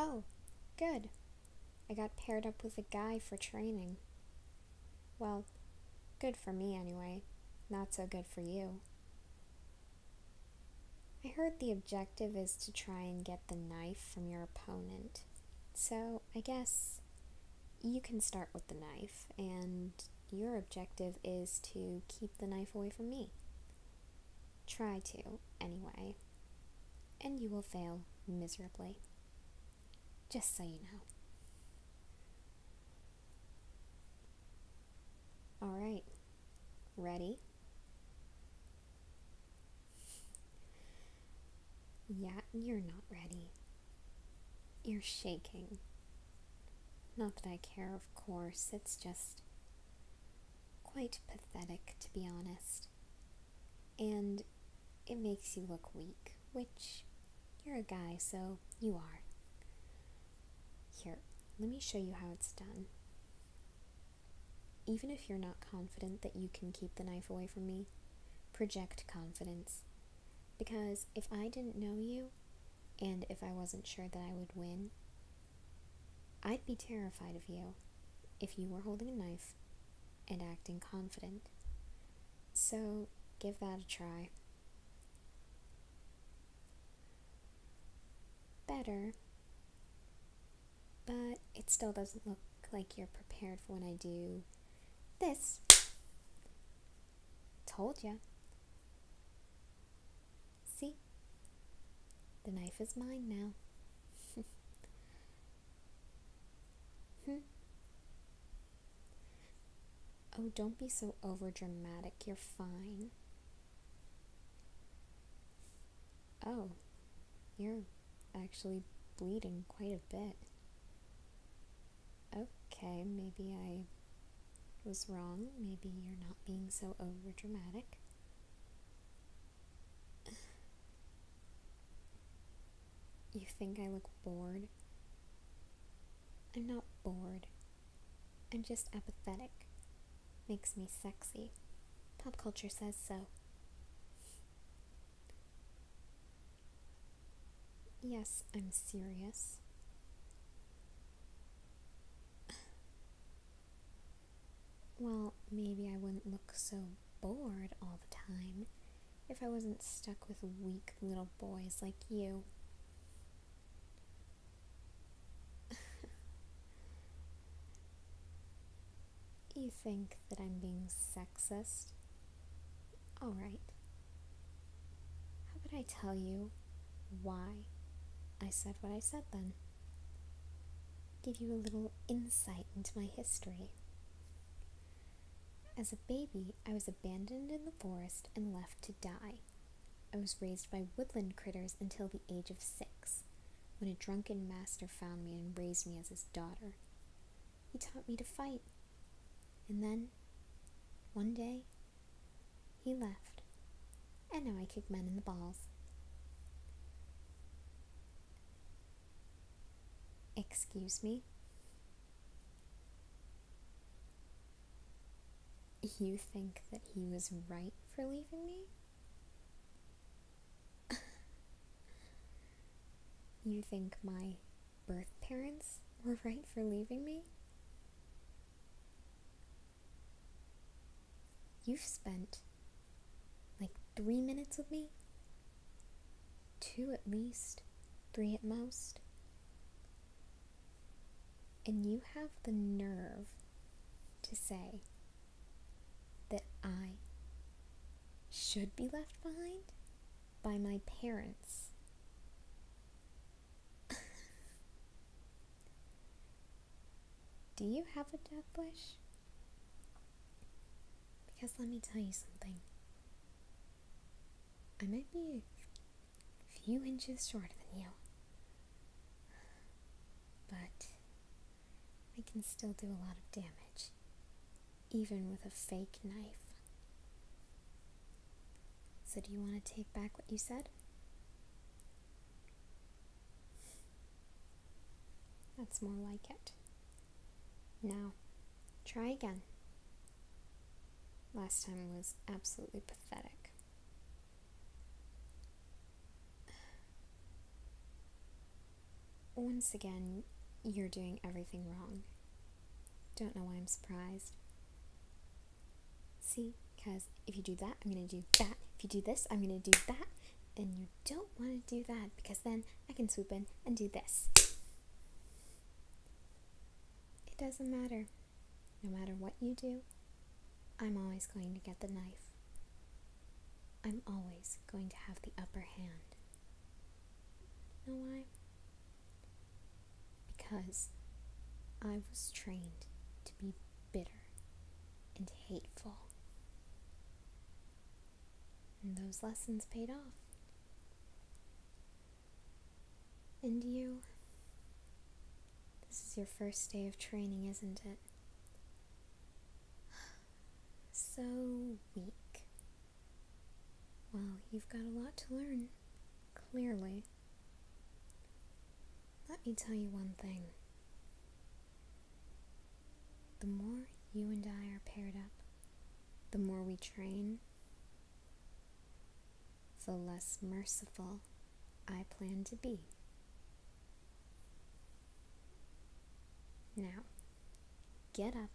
Oh, good. I got paired up with a guy for training. Well, good for me anyway. Not so good for you. I heard the objective is to try and get the knife from your opponent. So I guess you can start with the knife, and your objective is to keep the knife away from me. Try to, anyway, and you will fail miserably. Just so you know. Alright, ready? Yeah, you're not ready. You're shaking. Not that I care, of course, it's just quite pathetic, to be honest. And it makes you look weak, which you're a guy, so you are. Here, let me show you how it's done. Even if you're not confident that you can keep the knife away from me, project confidence. Because if I didn't know you, and if I wasn't sure that I would win, I'd be terrified of you if you were holding a knife and acting confident. So give that a try. Better but it still doesn't look like you're prepared for when I do this. Told you. See? The knife is mine now. Hmm? Oh, don't be so overdramatic. You're fine. Oh, you're actually bleeding quite a bit. Okay, maybe I was wrong. Maybe you're not being so over dramatic. You think I look bored? I'm not bored. I'm just apathetic. Makes me sexy. Pop culture says so. Yes, I'm serious. well, maybe I wouldn't look so bored all the time if I wasn't stuck with weak little boys like you. You think that I'm being sexist? Alright. How could I tell you why I said what I said then? Give you a little insight into my history. As a baby, I was abandoned in the forest and left to die. I was raised by woodland critters until the age of six, when a drunken master found me and raised me as his daughter he taught me to fight. And then, one day, he left. And now I kick men in the balls. Excuse me? You think that he was right for leaving me? you think my birth parents were right for leaving me? You've spent like three minutes with me? Two at least, three at most. And you have the nerve to say that I should be left behind by my parents. Do you have a death wish? Because let me tell you something. I might be a few inches shorter than you, but I can still do a lot of damage even with a fake knife. So, do you want to take back what you said? That's more like it. Now, try again. Last time was absolutely pathetic. Once again, you're doing everything wrong. Don't know why I'm surprised. See, because if you do that, I'm going to do that. If you do this, I'm going to do that. And you don't want to do that because then I can swoop in and do this. It doesn't matter. No matter what you do, I'm always going to get the knife I'm always going to have the upper hand. know why? Because I was trained to be bitter and hateful. And those lessons paid off. And you, this is your first day of training, isn't it? so weak? Well, you've got a lot to learn, clearly. Let me tell you one thing. The more you and I are paired up, the more we train, the less merciful I plan to be. Now, get up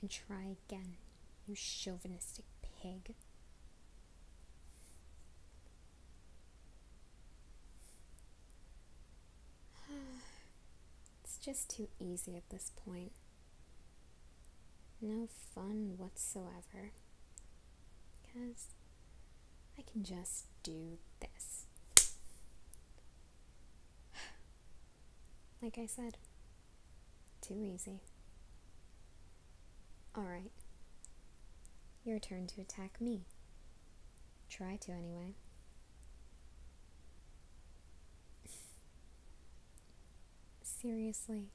and try again, you chauvinistic pig. it's just too easy at this point. No fun whatsoever. Because I can just do this like I said, too easy. Alright. Your turn to attack me. Try to, anyway. Seriously.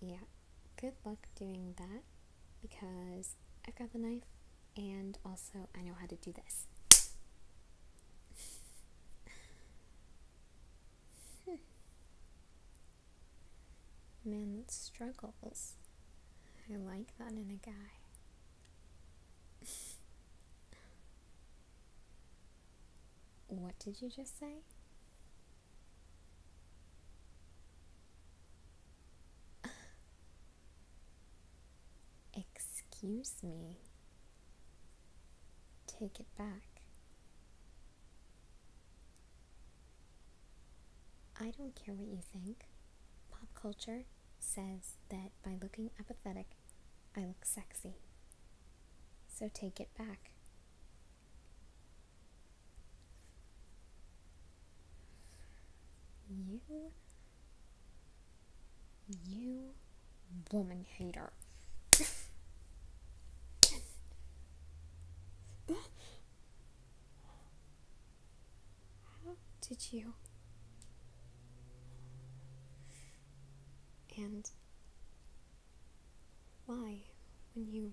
Yeah, good luck doing that because I've got the knife and also I know how to do this. Hmm. Man that struggles. I like that in a guy. what did you just say? Excuse me. Take it back. I don't care what you think. Pop culture says that by looking apathetic, I look sexy. So take it back. You. You woman hater. How did you? And why, when you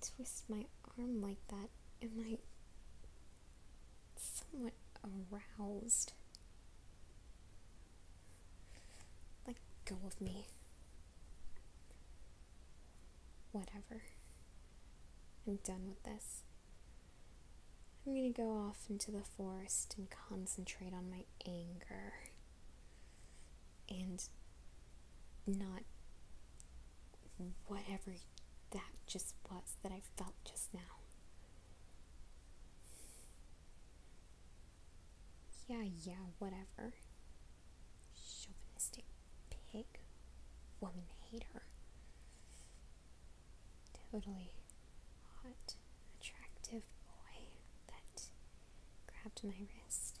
twist my arm like that, am I somewhat aroused? Let go of me. Whatever. I'm done with this. I'm gonna go off into the forest and concentrate on my anger and not whatever that just was that I felt just now. Yeah, yeah, whatever. Chauvinistic pig. Woman hater. Totally hot, attractive boy that grabbed my wrist.